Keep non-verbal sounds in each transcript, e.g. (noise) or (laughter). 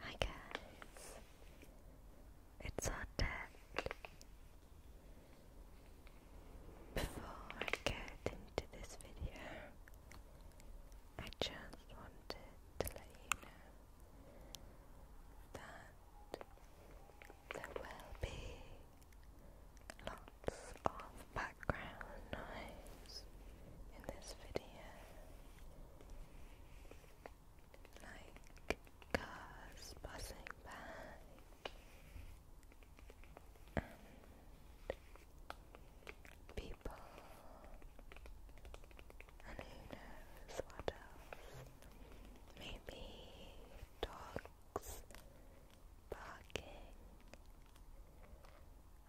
I guess it's Odette. Before I get into this video, I just wanted to let you know that there will be lots of background noise in this video like cars passing by and people and who knows what else maybe dogs barking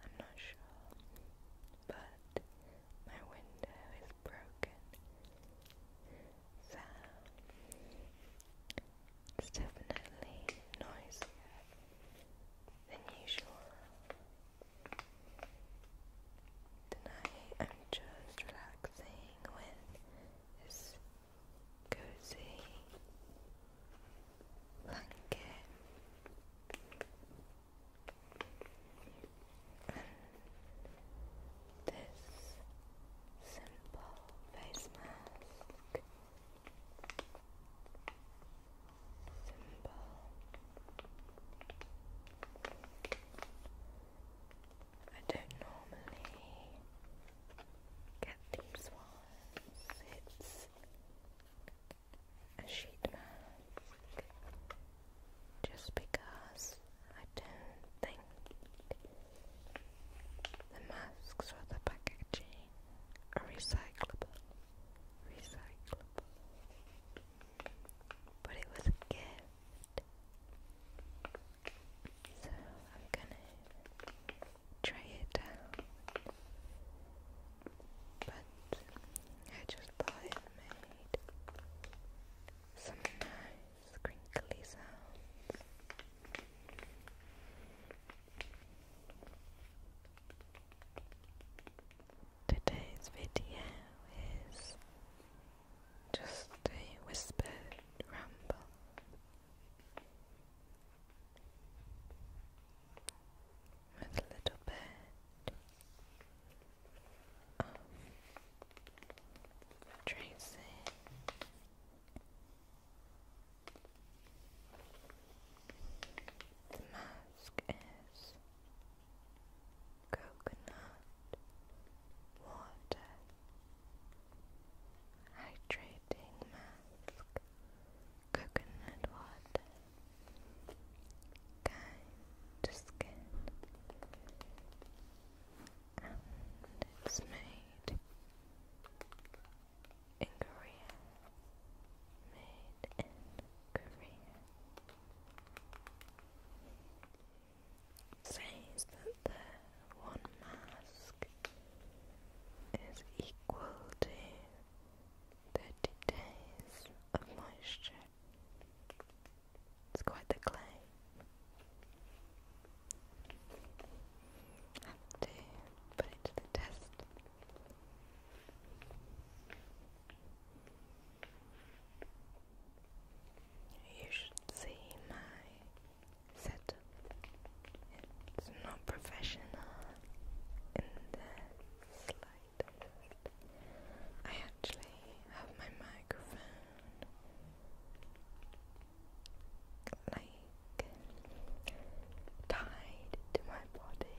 I'm not sure, but my window is broken. So it's definitely noisier than usual. Tonight I'm just relaxing with this cozy blanket. This simple face mask, simple. I don't normally get these ones a just because I don't think the masks or the packaging are recyclable. Recyclable. But it was a gift. So I'm gonna try it But I just thought it made some nice crinkly sounds. Today's video is just a whispered ramble with a little bit of tracing. The mask is coconut water hydrating mask coconut water kind skin and it's made in Korea made in Korea says that the one mask is equal to 30 days of moisture. It's quite the claim. Have to put it to the test. You should see my set it's not professional in the slightest. I actually have my microphone like tied to my body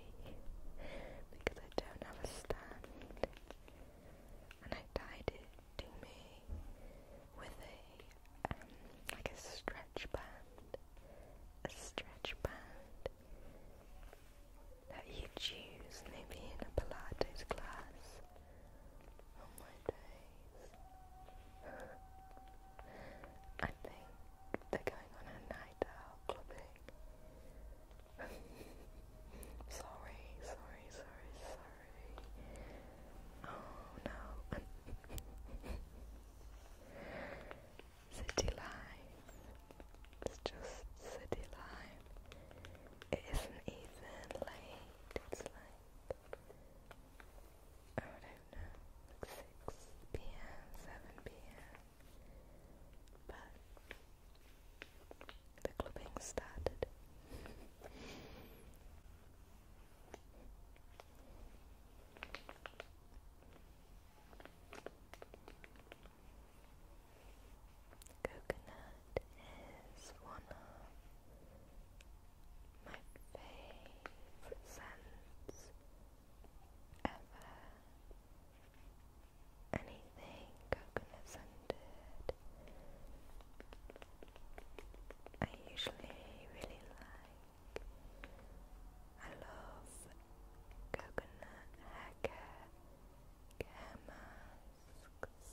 because I don't have a stand and I tied it to me with a like a stretch band, a stretch band that you choose maybe in a Pilates class. On oh my days. I think they're going on a night out clubbing. (laughs) sorry, sorry, sorry, sorry. Oh no. (laughs) City life. It's just city life. It isn't even late. It's like I don't know, like six p.m., seven p.m. But the clubbing started. Coconut is one of my favorite scents ever. Anything coconut scented, I usually really like. I love coconut hair care, masks,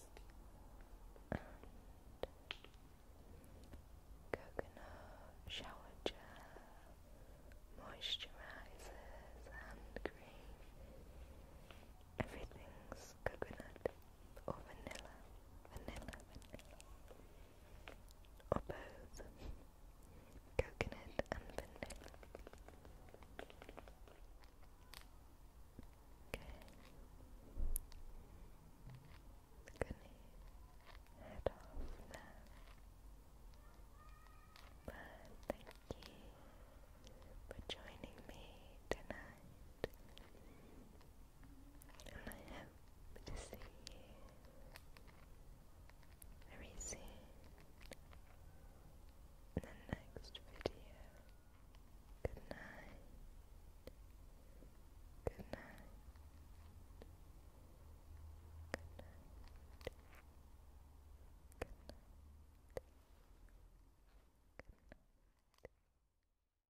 coconut shower gel, moisturizers, hand cream. Everything's coconut or vanilla, vanilla, or both coconut and vanilla. Okay. going head off now. But thank you for joining me tonight and I hope to see you very soon in the next video. Good night. Good night. Good night. Good night. Good night.